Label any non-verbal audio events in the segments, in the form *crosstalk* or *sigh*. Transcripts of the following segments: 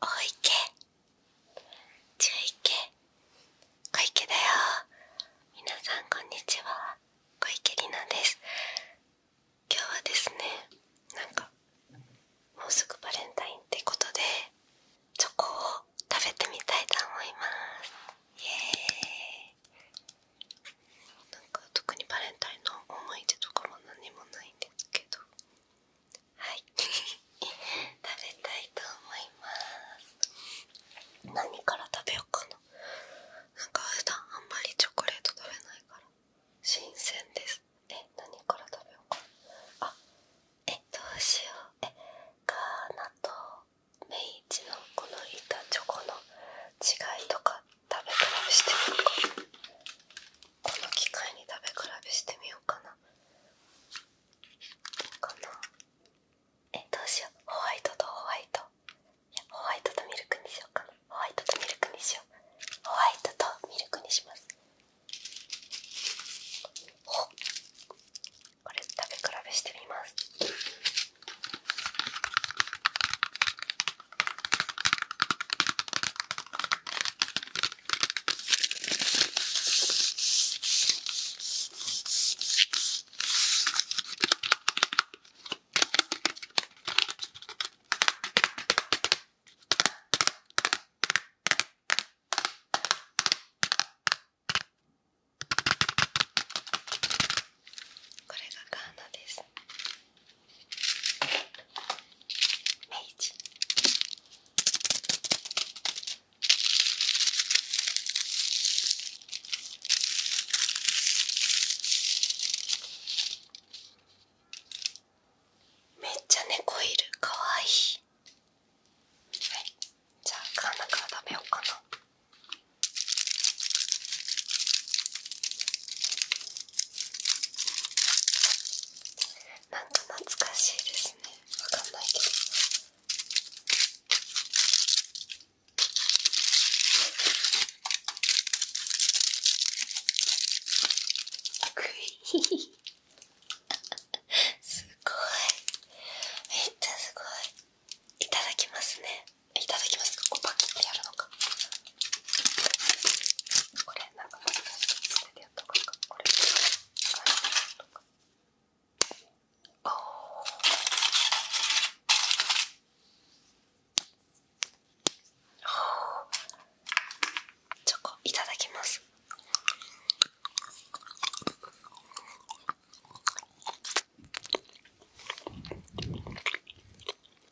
大池中池小池だよ皆さんこんにちは小池里奈です今日はですねなんかもうすぐバレンタインってことでチョコを食べてみたいと思いますイエーイなんか特にバレンタインの思い出とかも何もないんですけどはい *laughs* 食べたいと思います何から食べよっかななんか普段あんまりチョコレート食べないから新鮮ですえ何から食べようかなあえどうしようえガーナとメイチのこの板チョコの違いとか食べたりしてみるかこの機会に食べ比べしてみようかなかなえどうしようホワイトとホワイトホワイトとミルクにしようかなホワイトとミルクにしようホワイトとミルクにしますほこれ食べ比べしてみますこれがガーナです。明治めっちゃ猫いるかわいいじゃあカナから食べようかななんか懐かしいですねわかんないけどすごいめっちゃすごいいただきますねいただきますかこうパキってやるのかこれなんかもしかして捨ててやった方がこれとかああチョコいただきます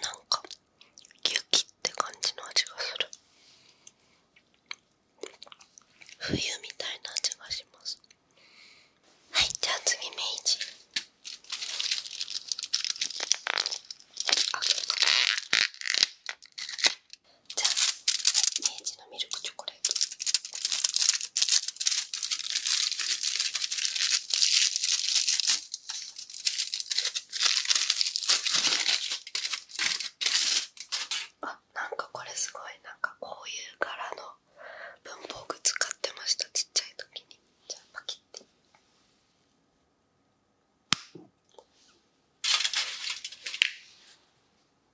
なんか雪って感じの味がする冬みたいな味がしますはいじゃあ次明治あじゃあ明治のミルクチョコレートあなんかこれすごいなんかこういう柄の文房具使ってましたちっちゃい時にじゃあパキッて。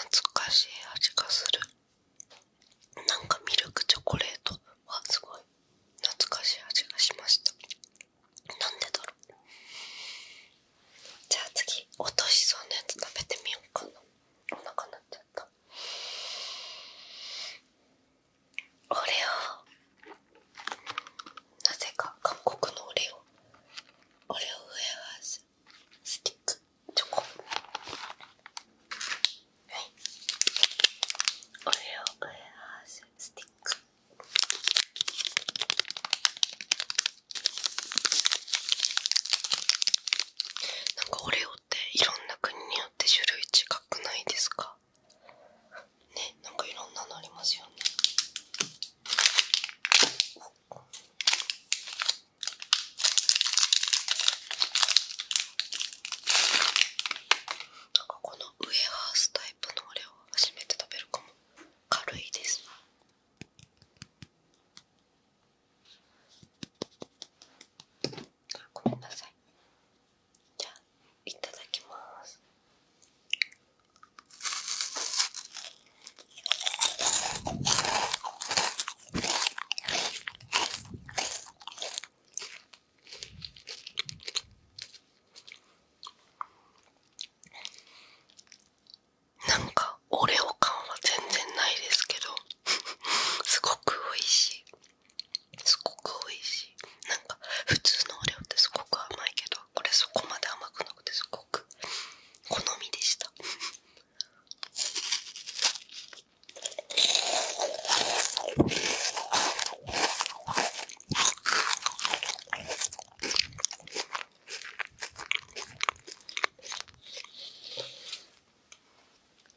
懐かしい味がするなんかミルクチョコレートはすごい懐かしい味がしましたなんでだろうじゃあ次落としそうなやつ食べてみようかなお腹なっちゃったオレオなぜか韓国のオレオオレオウェアーズスティックチョコオレオウェアーズスティックなんかオレ教いろんな国によって種類違くないですかねなんかいろんなのありますよねなんかこのウエハースタイプの俺は初めて食べるかも軽いですあごめんなさいじゃあいただきますなんかオレオ感は全然ないですけど *laughs* すごく美味しいすごく美味しいなんか普通のお料ってすごく甘いけどこれそこまで甘くなくてすごく好みでしたう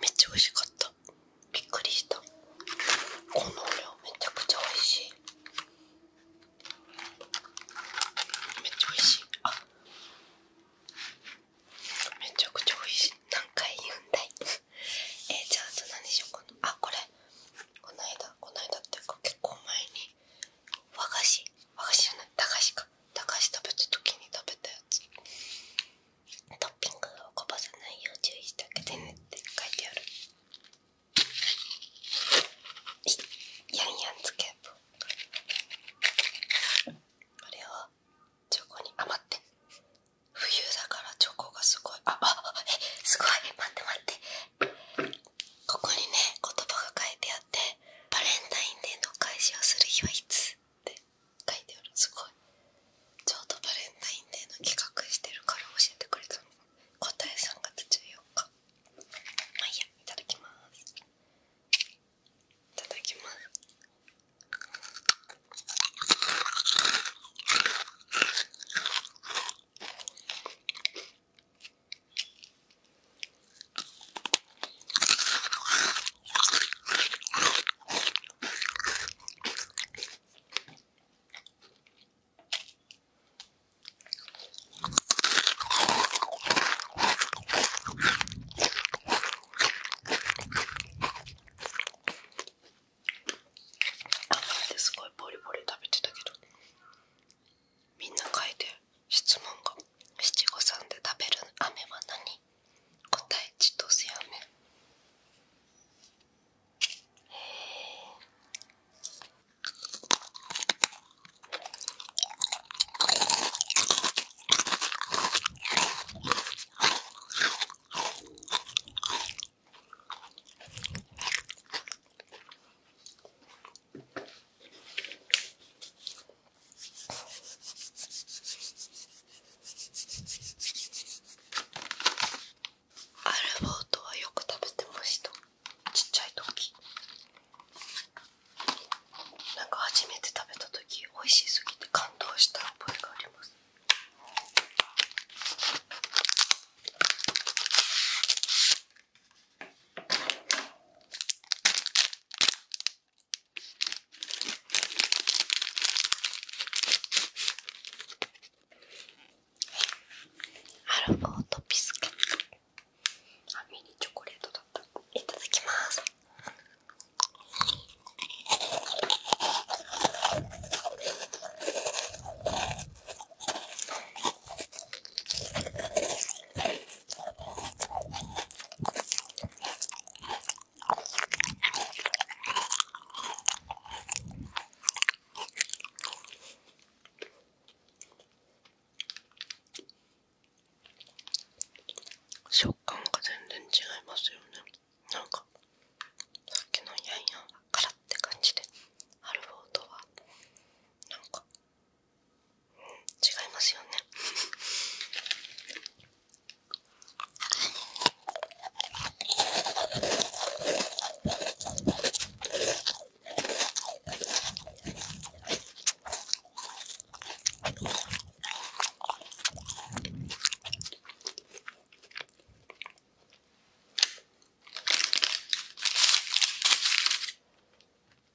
めっちゃ美味しかったびっくりしたこの量めちゃくちゃ美味しいめっちゃ美味しいあめちゃくちゃ美味しい何回言うんだいえー、じゃあ何でしようかなあこれこの間この間っていうか結構前に和菓子あ知らない菓子か駄菓食べたときに食べたやつトッピングをこぼさないよう注意してあげてねって書いてあるやんやんつけこれをチョコにあまって冬だからチョコがすごいああえすごい待って待ってここにね言葉が書いてあやバレンタインデーの開始をする日はいつって書いてあるすごいちょうどバレンタインデーの企画してるから教えてくれたの答えさ3月14日まあいいやいただきますいただきますすごいボリポリ食べてたけどみんな書いて質問が七五三で食べる飴は何答えちとせへえ。アルボートはよく食べてましたちっちゃい時なんか初めて食べた時美味しすぎて感動した覚えがありますアルフォートピスケッミニチョコレートだったいただきます食感が全然違いますよねなんかさっきのヤンヤンはカラって感じであるフォはなんか違いますよね悩ん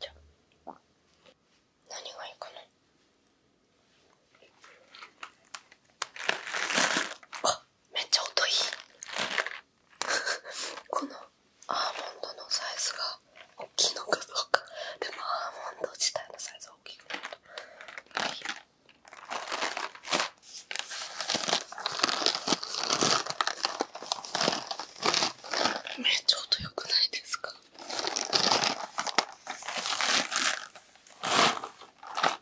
じゃう何がいいかなあめっちゃ音いい *laughs* このアーモンドのサイズが大きいのかどうかでもアーモンド自体のサイズは大きくないとはめっちゃ音良くないですか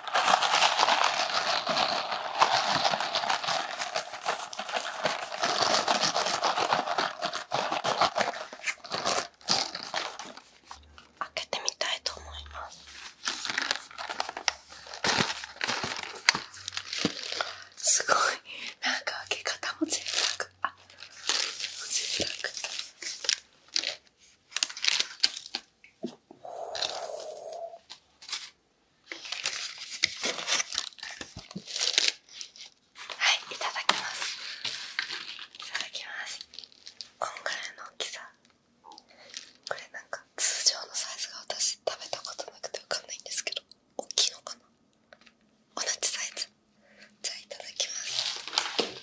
開けてみたいと思いますすごいなんか開け方も贅沢あ贅沢はいいただきますいただきますこんの大きさこれなんか通常のサイズが私食べたことなくてわかんないんですけど大きいのかな同じサイズじゃあいただきます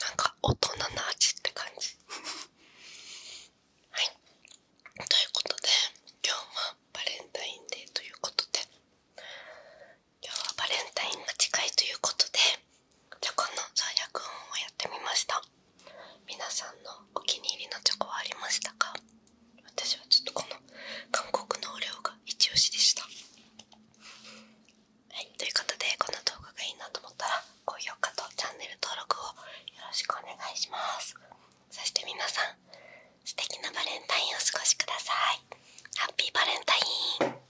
なんか大人の味って感じはいということで今日はバレンタインデーということで今日はバレンタインが近いということでチョコの創薬音をやってみました皆さんのお気に入りのチョコはありましたか私はちょっとこの韓国のお料がイチオシでしたはい、ということでこの動画がいいなと思ったら高評価とチャンネル登録をよろしくお願いしますそして皆さん素敵なバレンタインをお過ごしくださいいハッピーバレンタイン